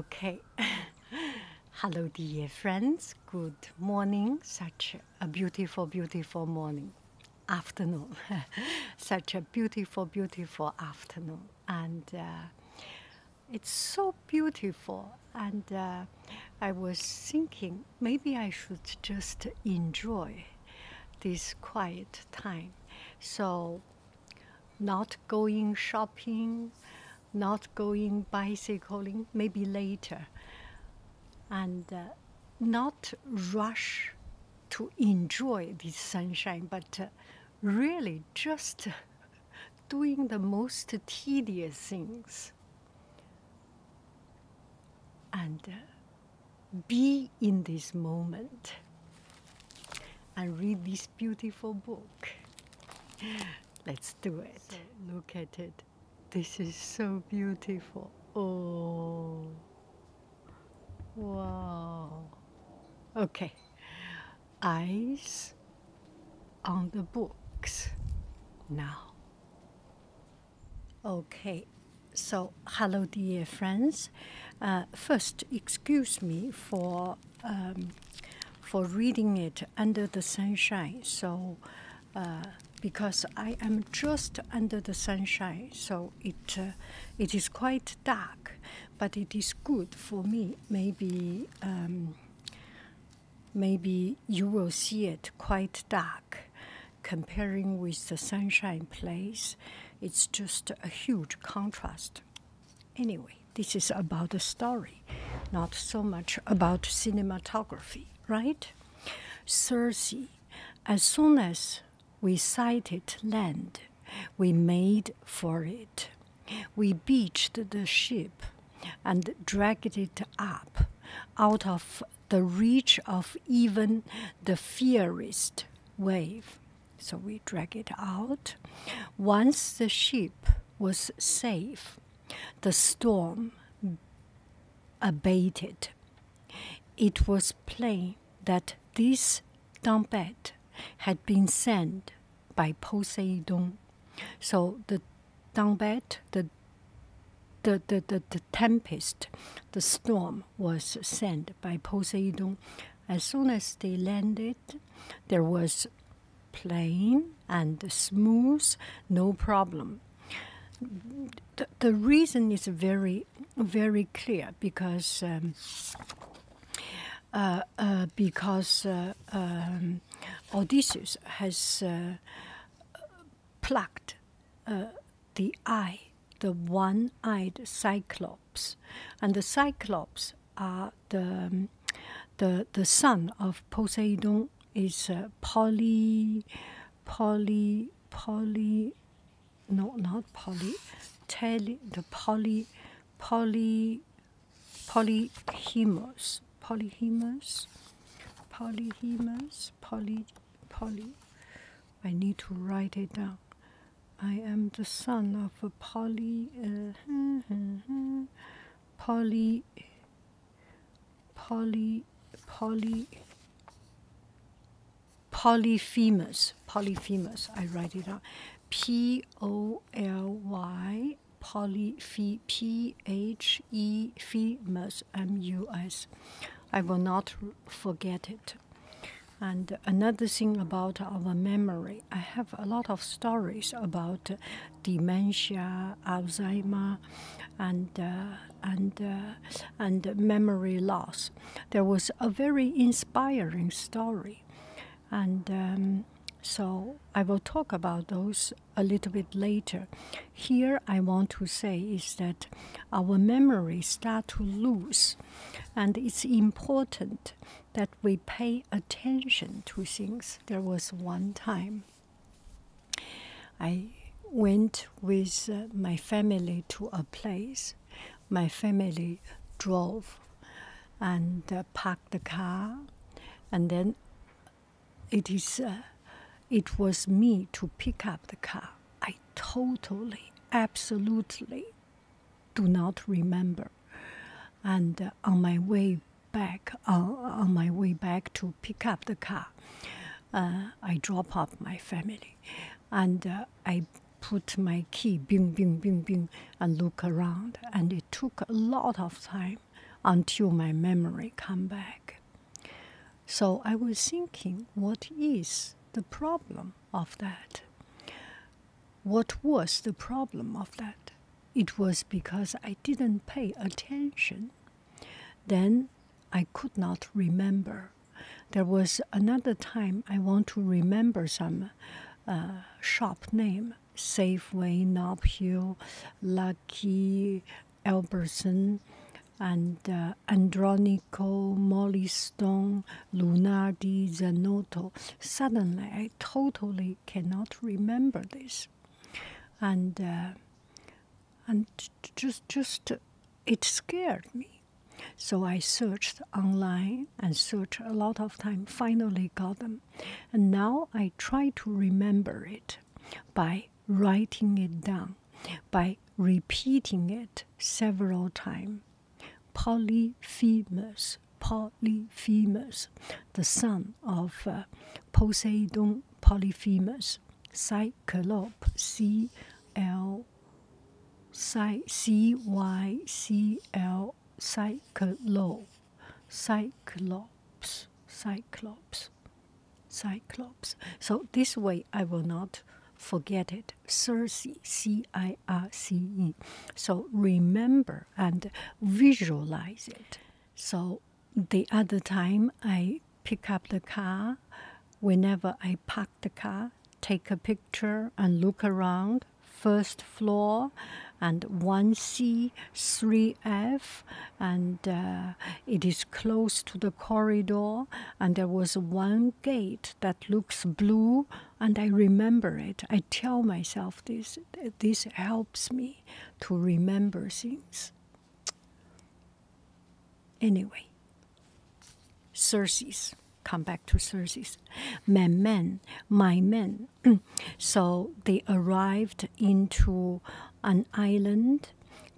Okay. Hello, dear friends. Good morning. Such a beautiful, beautiful morning. Afternoon. Such a beautiful, beautiful afternoon. And uh, it's so beautiful. And uh, I was thinking maybe I should just enjoy this quiet time. So not going shopping, not going bicycling, maybe later, and uh, not rush to enjoy this sunshine, but uh, really just doing the most tedious things and uh, be in this moment and read this beautiful book. Let's do it. look at it. This is so beautiful. Oh. Wow. Okay. Eyes on the books now. Okay. So, hello, dear friends. Uh, first, excuse me for um, for reading it under the sunshine. So uh, because I am just under the sunshine, so it uh, it is quite dark, but it is good for me. Maybe um, maybe you will see it quite dark. Comparing with the sunshine place, it's just a huge contrast. Anyway, this is about the story, not so much about cinematography, right? Circe, as soon as we sighted land, we made for it. We beached the ship and dragged it up out of the reach of even the fiercest wave. So we drag it out. Once the ship was safe, the storm abated. It was plain that this dombette had been sent by Poseidon. So the dombette, the, the, the, the tempest, the storm was sent by Poseidon. As soon as they landed, there was plain and smooth, no problem. The, reason is very, very clear because um, uh, uh, because uh, um, Odysseus has plucked the eye, the one-eyed Cyclops and the Cyclops are the um, the the son of Poseidon is uh, Poly, Poly, Poly, no, not Poly, Tele, the Poly, Poly, Polyhemos Polyhemos Polyhemos Poly, Poly. I need to write it down. I am the son of a poly uh, poly poly poly polyphemus polyphemus I write it out P O L Y polyphe P H E M U S I will not forget it and another thing about our memory I have a lot of stories about uh, dementia, Alzheimer, and uh, and uh, and memory loss. There was a very inspiring story, and um, so I will talk about those a little bit later. Here, I want to say is that our memory start to lose, and it's important that we pay attention to things. There was one time I went with uh, my family to a place. My family drove and uh, parked the car, and then it is uh, it was me to pick up the car. I totally, absolutely do not remember. And uh, on my way back, uh, on my way back to pick up the car, uh, I drop off my family, and I put my key, bing, bing, bing, bing, and look around. And it took a lot of time until my memory come back. So I was thinking, what is the problem of that? What was the problem of that? It was because I didn't pay attention. Then I could not remember. There was another time I want to remember some uh, shop name Safeway, Knob Hill, Lucky, Albertson, and uh, Andronico, Molly Lunardi, Zanotto. Suddenly, totally cannot remember this, and uh, and just just it scared me. So I searched online and searched a lot of time. Finally got them, and now I try to remember it by writing it down, by repeating it several times. Polyphemus, Polyphemus, the son of uh, Poseidon Polyphemus, Cyclop, C L Cy C Y C L Cyclops, Cyclops, Cyclops. So this way I will not forget it. Circe, C I R C E. So remember and visualize it. So the other time I pick up the car, whenever I park the car, take a picture and look around first floor and 1C, 3F, and uh, it is close to the corridor. And there was one gate that looks blue and I remember it. I tell myself this. This helps me to remember things. Anyway, Circes. Come back to Circes. My men, my men. so they arrived into an island.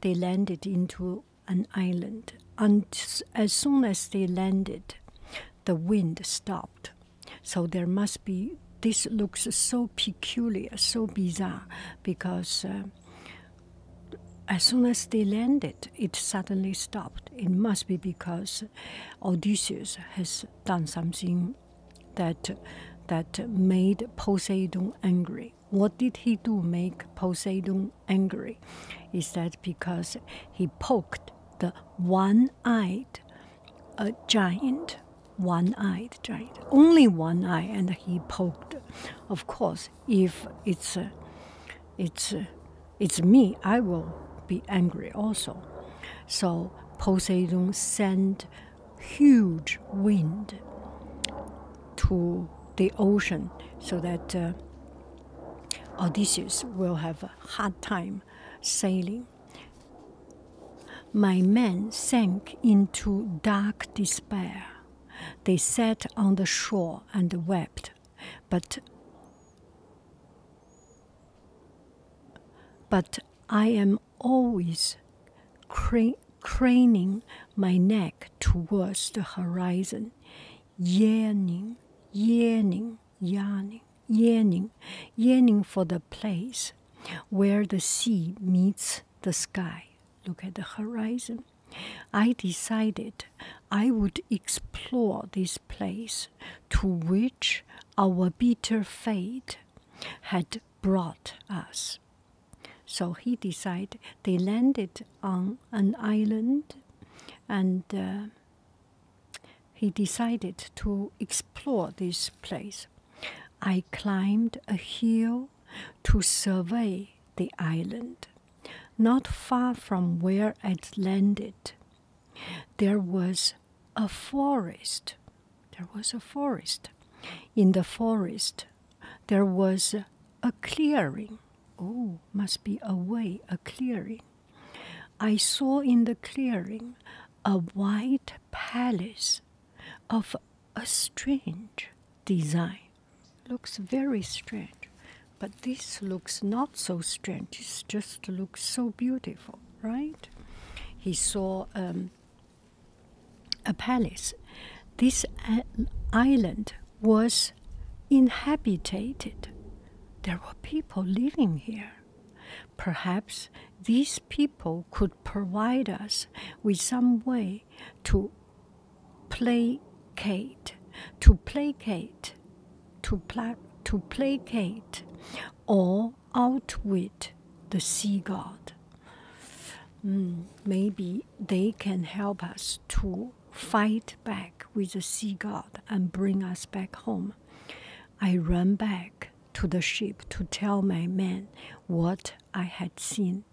They landed into an island. And as soon as they landed, the wind stopped. So there must be, this looks so peculiar, so bizarre, because uh, as soon as they landed, it suddenly stopped. It must be because Odysseus has done something that, that made Poseidon angry. What did he do make Poseidon angry? Is that because he poked the one one eyed a giant, one eyed giant, only one eye, and he poked. Of course, if it's uh, it's uh, it's me, I will be angry also. So Poseidon sent huge wind to the ocean so that uh, Odysseus will have a hard time sailing. My men sank into dark despair. They sat on the shore and wept, but but I am always craning my neck towards the horizon, yearning, yearning yearning, yearning, yearning for the place where the sea meets the sky. Look at the horizon. I decided I would explore this place to which our bitter fate had brought us. So he decided they landed on an island and uh, he decided to explore this place. I climbed a hill to survey the island. Not far from where I would landed, there was a forest. There was a forest. In the forest, there was a clearing. Oh, must be a way, a clearing. I saw in the clearing a white palace of a strange design. Looks very strange, but this looks not so strange. It just looks so beautiful, right? He saw um, a palace. This uh, island was inhabited. There were people living here. Perhaps these people could provide us with some way to placate, to placate, to, pla to placate or outwit the sea god. Hmm, maybe they can help us to fight back with the sea god and bring us back home. I ran back to the ship to tell my men what I had seen,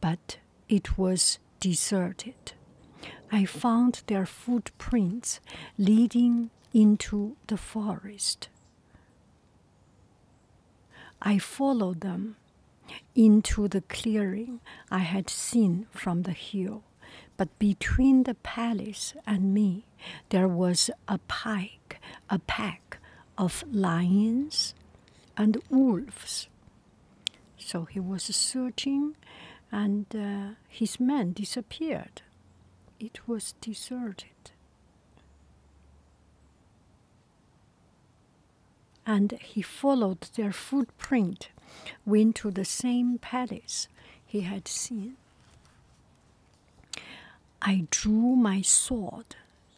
but it was deserted. I found their footprints leading into the forest. I followed them into the clearing I had seen from the hill, but between the palace and me, there was a pike, a pack of lions and wolves. So he was searching, and uh, his men disappeared. It was deserted. And he followed their footprint, went to the same palace he had seen. I drew my sword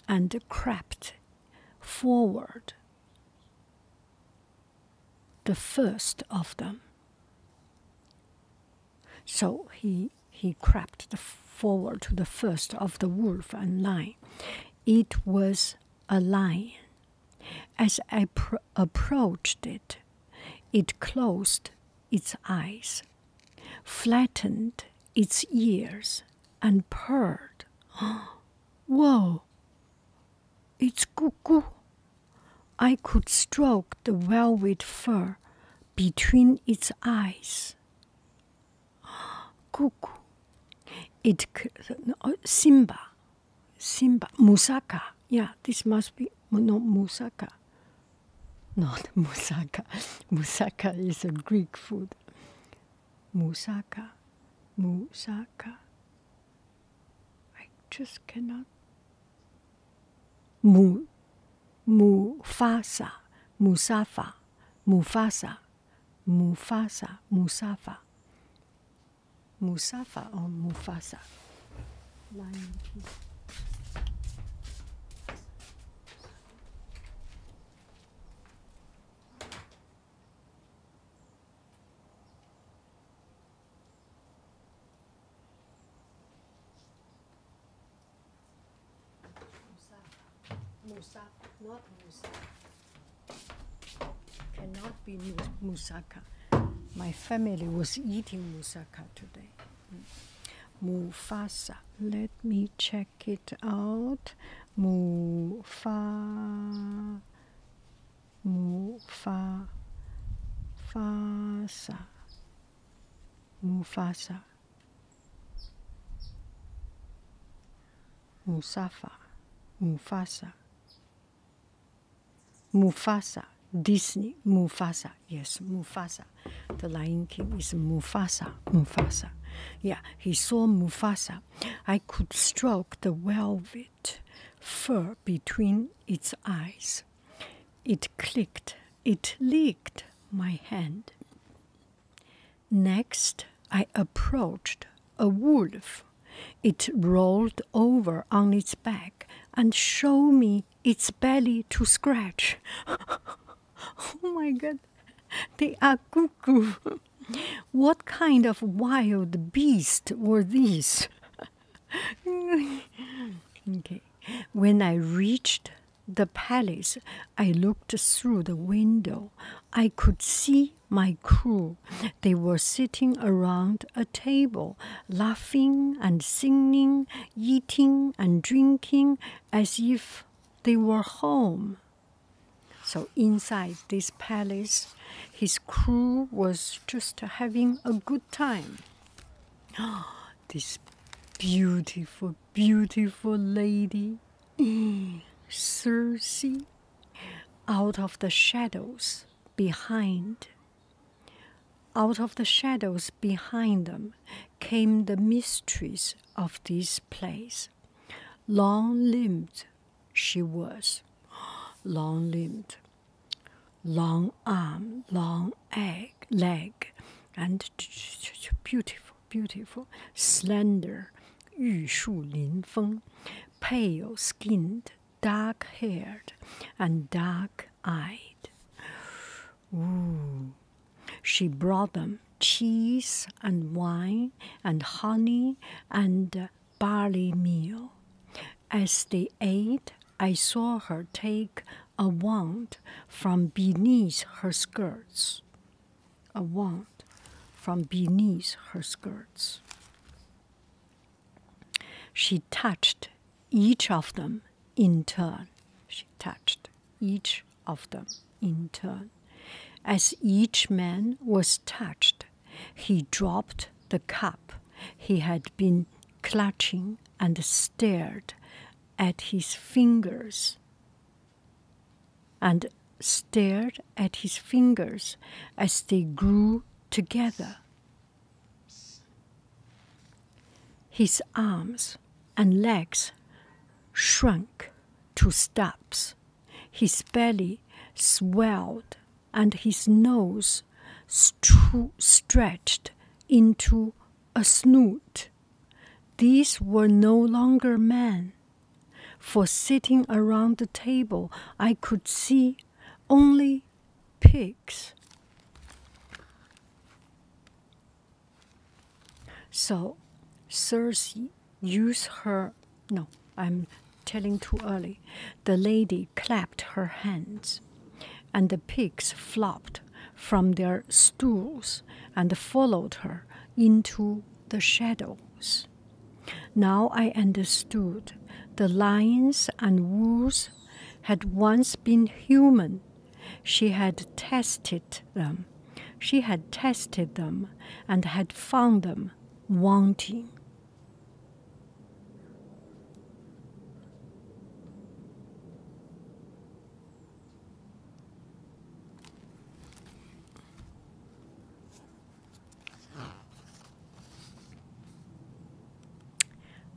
and crept forward, the first of them. So he he crept forward to the first of the wolf and lion. It was a lion. As I approached it, it closed its eyes, flattened its ears, and purred. Whoa! It's cuckoo. I could stroke the velvet fur between its eyes. Cuckoo. It oh, Simba, Simba, Musaka. Yeah, this must be no Musaka. Not moussaka. Moussaka is a Greek food. Moussaka. Moussaka. I just cannot. Mu, mu Mufasa. Musafa. Mufasa. Mufasa. Musafa. Musafa or Mufasa line Musaka, not Musaka. Cannot be Musaka. My family was eating Musaka today. Mufasa. Let me check it out. Mufa, Mufa, Fasa, Mufasa, Musafa, Mufasa, Mufasa. Disney, Mufasa. Yes, Mufasa. The Lion King is Mufasa. Mufasa. Yeah, he saw Mufasa. I could stroke the velvet fur between its eyes. It clicked. It licked my hand. Next, I approached a wolf. It rolled over on its back and showed me its belly to scratch. oh my god, they are cuckoo. what kind of wild beast were these? okay. When I reached the palace, I looked through the window. I could see my crew. They were sitting around a table laughing and singing, eating and drinking as if they were home. So inside this palace, his crew was just having a good time. this beautiful, beautiful lady, Circe, out of the shadows behind out of the shadows behind them came the mistress of this place. Long limbed she was, long limbed, long arm, long egg, leg, and beautiful, beautiful, slender, 玉树临风, pale skinned, dark haired, and dark eyed. Ooh. She brought them cheese and wine and honey and barley meal. As they ate, I saw her take a wand from beneath her skirts. A wand from beneath her skirts. She touched each of them in turn. She touched each of them in turn. As each man was touched, he dropped the cup he had been clutching and stared at his fingers and stared at his fingers as they grew together his arms and legs shrunk to stubs. His belly swelled and his nose stretched into a snoot. These were no longer men. For sitting around the table, I could see only pigs. So Cersei used her no, I'm telling too early. The lady clapped her hands, and the pigs flopped from their stools and followed her into the shadows. Now I understood the lions and wolves had once been human she had tested them. She had tested them and had found them wanting.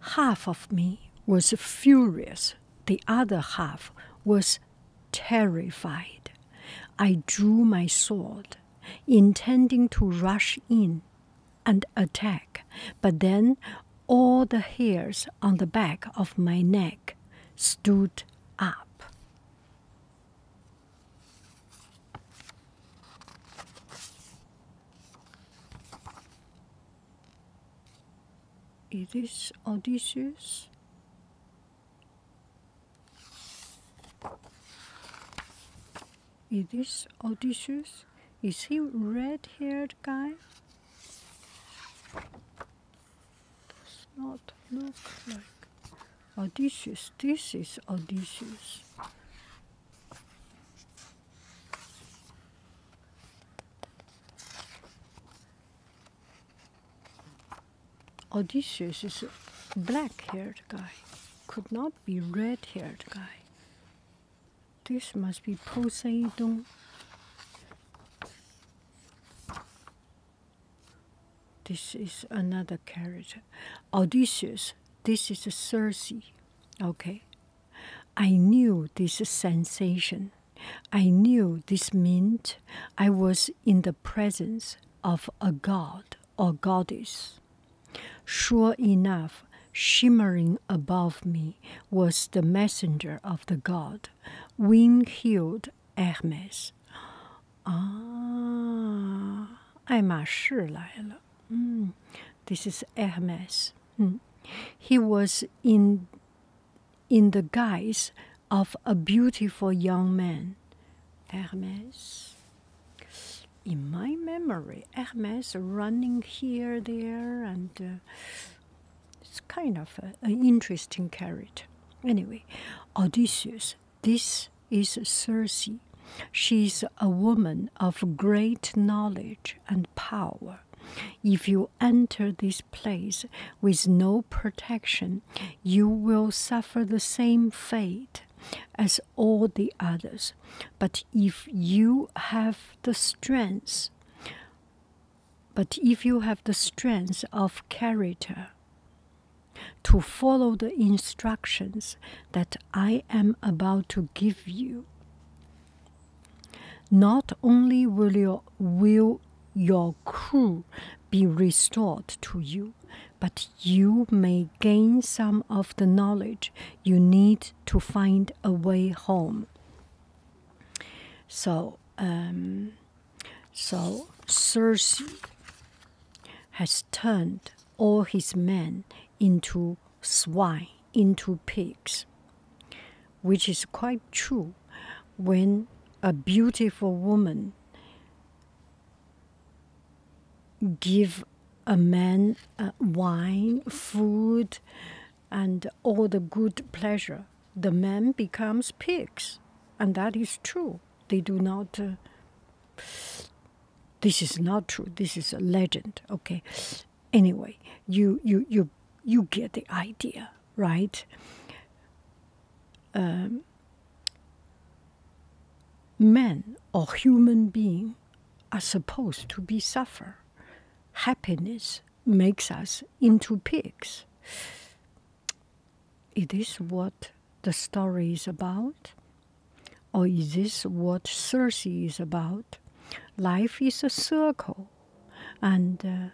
Half of me was furious, the other half was terrified. I drew my sword, intending to rush in and attack, but then all the hairs on the back of my neck stood up. It is Odysseus. It is Odysseus. Is he red-haired guy? Does not look like Odysseus. This is Odysseus. Odysseus is a black-haired guy. Could not be red-haired guy. This must be Poseidon. This is another character. Odysseus. This is a Circe. Okay, I knew this sensation. I knew this meant I was in the presence of a god or goddess. Sure enough, shimmering above me was the messenger of the god, wing heeled Hermes. Ah, 爱马仕来了。嗯，this is Hermes. Hmm. He was in, in the guise of a beautiful young man. Hermes. In my memory, Hermes running here, there, and uh, it's kind of an interesting character. Anyway, Odysseus. This is Circe. She's a woman of great knowledge and power. If you enter this place with no protection, you will suffer the same fate as all the others. But if you have the strength, but if you have the strength of character to follow the instructions that I am about to give you, not only will your, will your crew be restored to you, but you may gain some of the knowledge you need to find a way home. So, um, so Circe has turned all his men into swine, into pigs, which is quite true when a beautiful woman give a man uh, wine, food, and all the good pleasure, the man becomes pigs, and that is true. They do not. Uh, this is not true. This is a legend. Okay, anyway you you you you get the idea right um, men or human being are supposed to be suffer happiness makes us into pigs is this what the story is about or is this what circe is about life is a circle, and uh,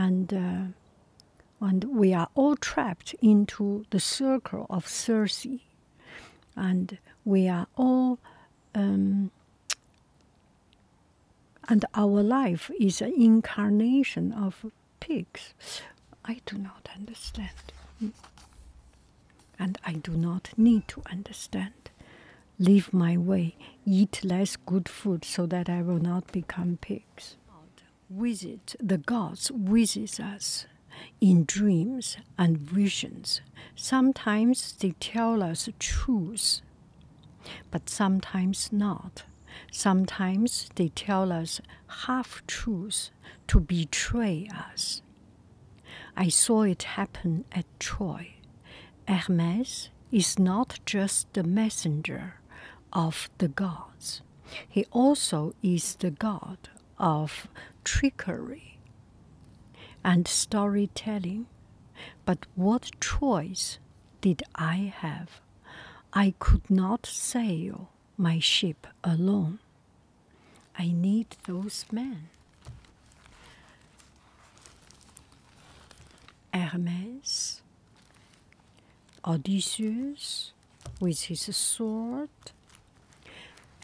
and uh, and we are all trapped into the circle of Circe, and we are all. Um, and our life is an incarnation of pigs. I do not understand. And I do not need to understand. Leave my way, eat less good food so that I will not become pigs. Visit the gods visit us in dreams and visions. Sometimes they tell us truths, but sometimes not. Sometimes they tell us half truths to betray us. I saw it happen at Troy. Hermes is not just the messenger of the gods, he also is the god of trickery and storytelling. But what choice did I have? I could not sail my ship alone. I need those men. Hermes, Odysseus with his sword.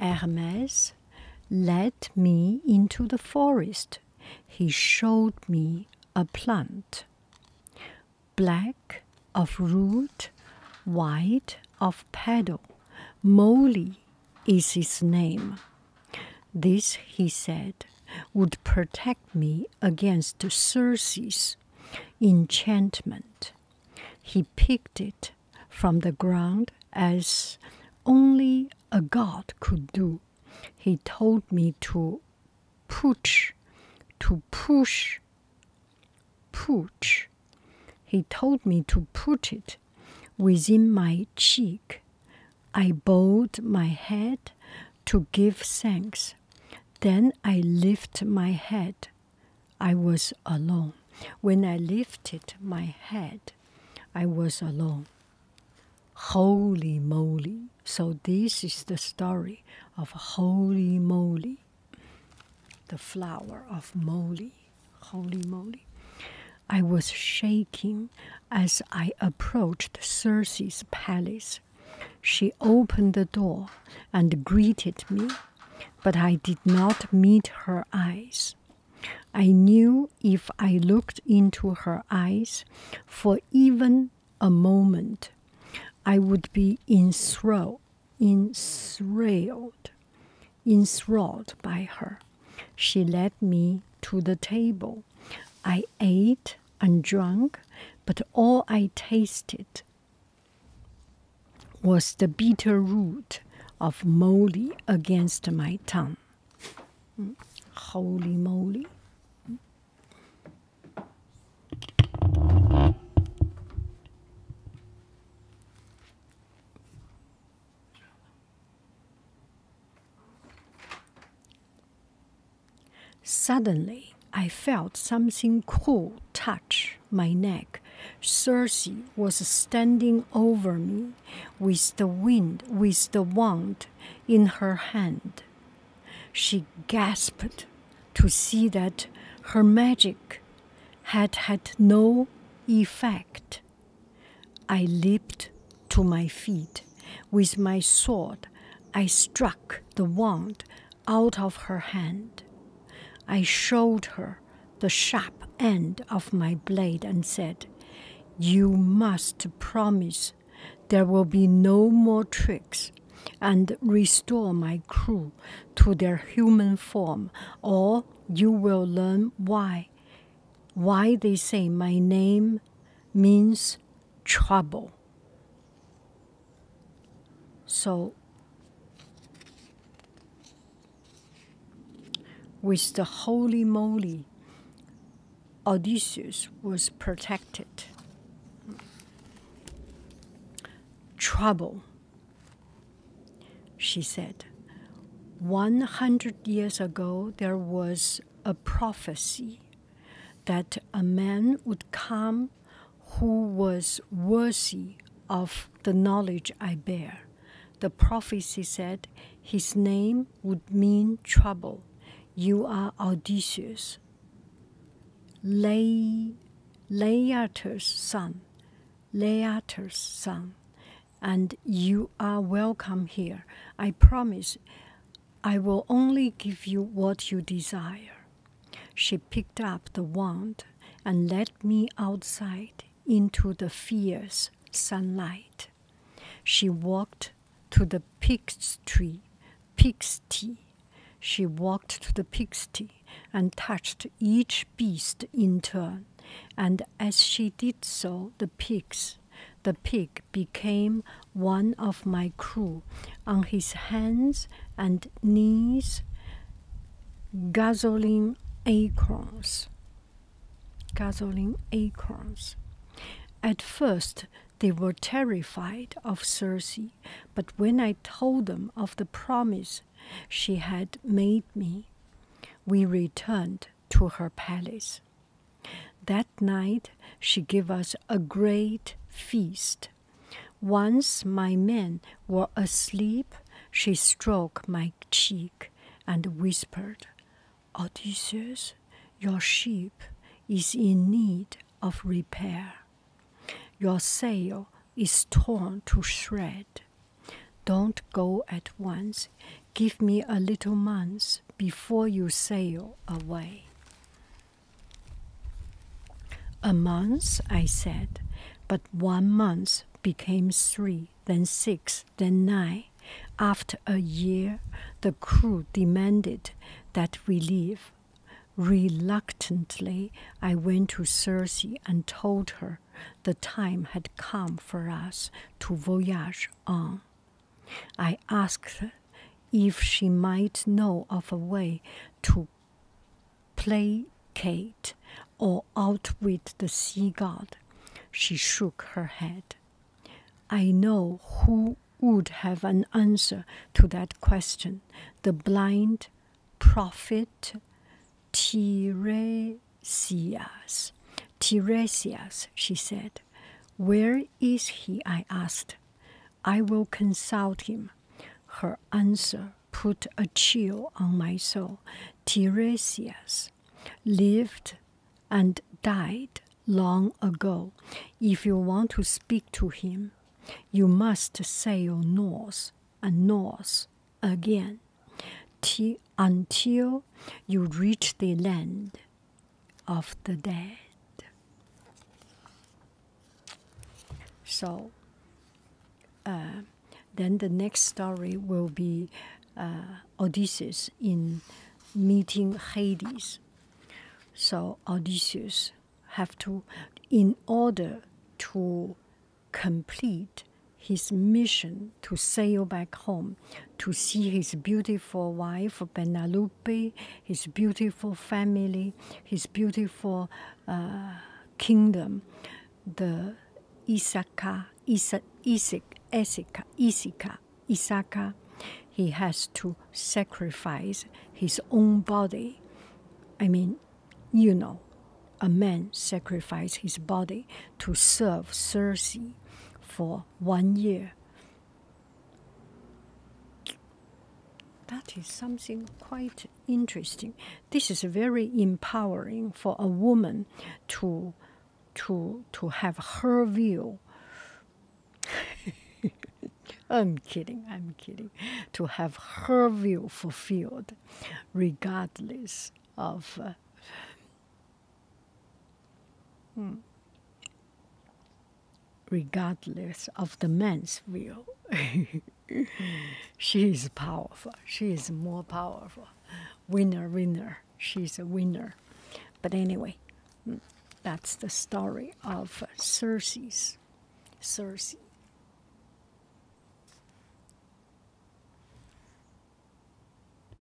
Hermes led me into the forest. He showed me a plant, black of root, white of petal, moly is his name. This, he said, would protect me against Circe's enchantment. He picked it from the ground as only a god could do. He told me to push, to push, push. He told me to put it within my cheek I bowed my head to give thanks. Then I lifted my head. I was alone. When I lifted my head, I was alone. Holy moly. So, this is the story of Holy Moly, the flower of moly. Holy moly. I was shaking as I approached Circe's palace. She opened the door and greeted me, but I did not meet her eyes. I knew if I looked into her eyes for even a moment, I would be enthralled, enthralled, enthralled by her. She led me to the table. I ate and drank, but all I tasted was the bitter root of moly against my tongue. Mm. Holy moly. Suddenly, I felt something cool touch my neck. Cersei was standing over me with the wind, with the wand in her hand. She gasped to see that her magic had had no effect. I leaped to my feet. With my sword, I struck the wand out of her hand. I showed her the sharp end of my blade and said, You must promise there will be no more tricks and restore my crew to their human form, or you will learn why why they say my name means trouble. So, with the holy moly, Odysseus was protected. Trouble, she said. 100 years ago, there was a prophecy that a man would come who was worthy of the knowledge I bear. The prophecy said, His name would mean trouble. You are Odysseus, Le- Laertes' son. Laertes' son and you are welcome here. I promise I will only give you what you desire. She picked up the wand and led me outside into the fierce sunlight. She walked to the pig's tree, pig's She walked to the pigsty and touched each beast in turn, and as she did so, the the pigs. The pig became one of my crew. On his hands and knees, Gasoline acorns. Gasoline acorns. At first, they were terrified of Circe, but when I told them of the promise she had made me, we returned to her palace. That night she gave us a great feast. Once my men were asleep, she stroked my cheek and whispered, Odysseus, your ship is in need of repair. Your sail is torn to shreds. Don't go at once. Give me a little month before you sail away. A month, I said, but one month became three, then six, then nine. After a year, the crew demanded that we leave. Reluctantly, I went to Circe and told her the time had come for us to voyage on. I asked her if she might know of a way to placate or outwit the sea god. She shook her head. I know who would have an answer to that question the blind prophet Tiresias. Tiresias. Tiresias, she said. Where is he? I asked. I will consult him. Her answer put a chill on my soul. Tiresias lived and died long ago. If you want to speak to him, you must sail north and north again. T until you reach the land of the dead. So, uh, then the next story will be uh, Odysseus in meeting Hades. So Odysseus have to, in order to complete his mission to sail back home, to see his beautiful wife Benalupe, his beautiful family, his beautiful uh, kingdom, the Isaka, Isa, Isik, Isika, Isika, Isaka. He has to sacrifice his own body. I mean, you know, a man sacrifices his body to serve Circe for one year. That is something quite interesting. This is very empowering for a woman to to to have her view. I'm kidding, I'm kidding. To have her view fulfilled regardless of uh, Hmm. Regardless of the man's will, she is powerful. She is more powerful. Winner, winner. She's a winner. But anyway, hmm, that's the story of Circe's. Circe.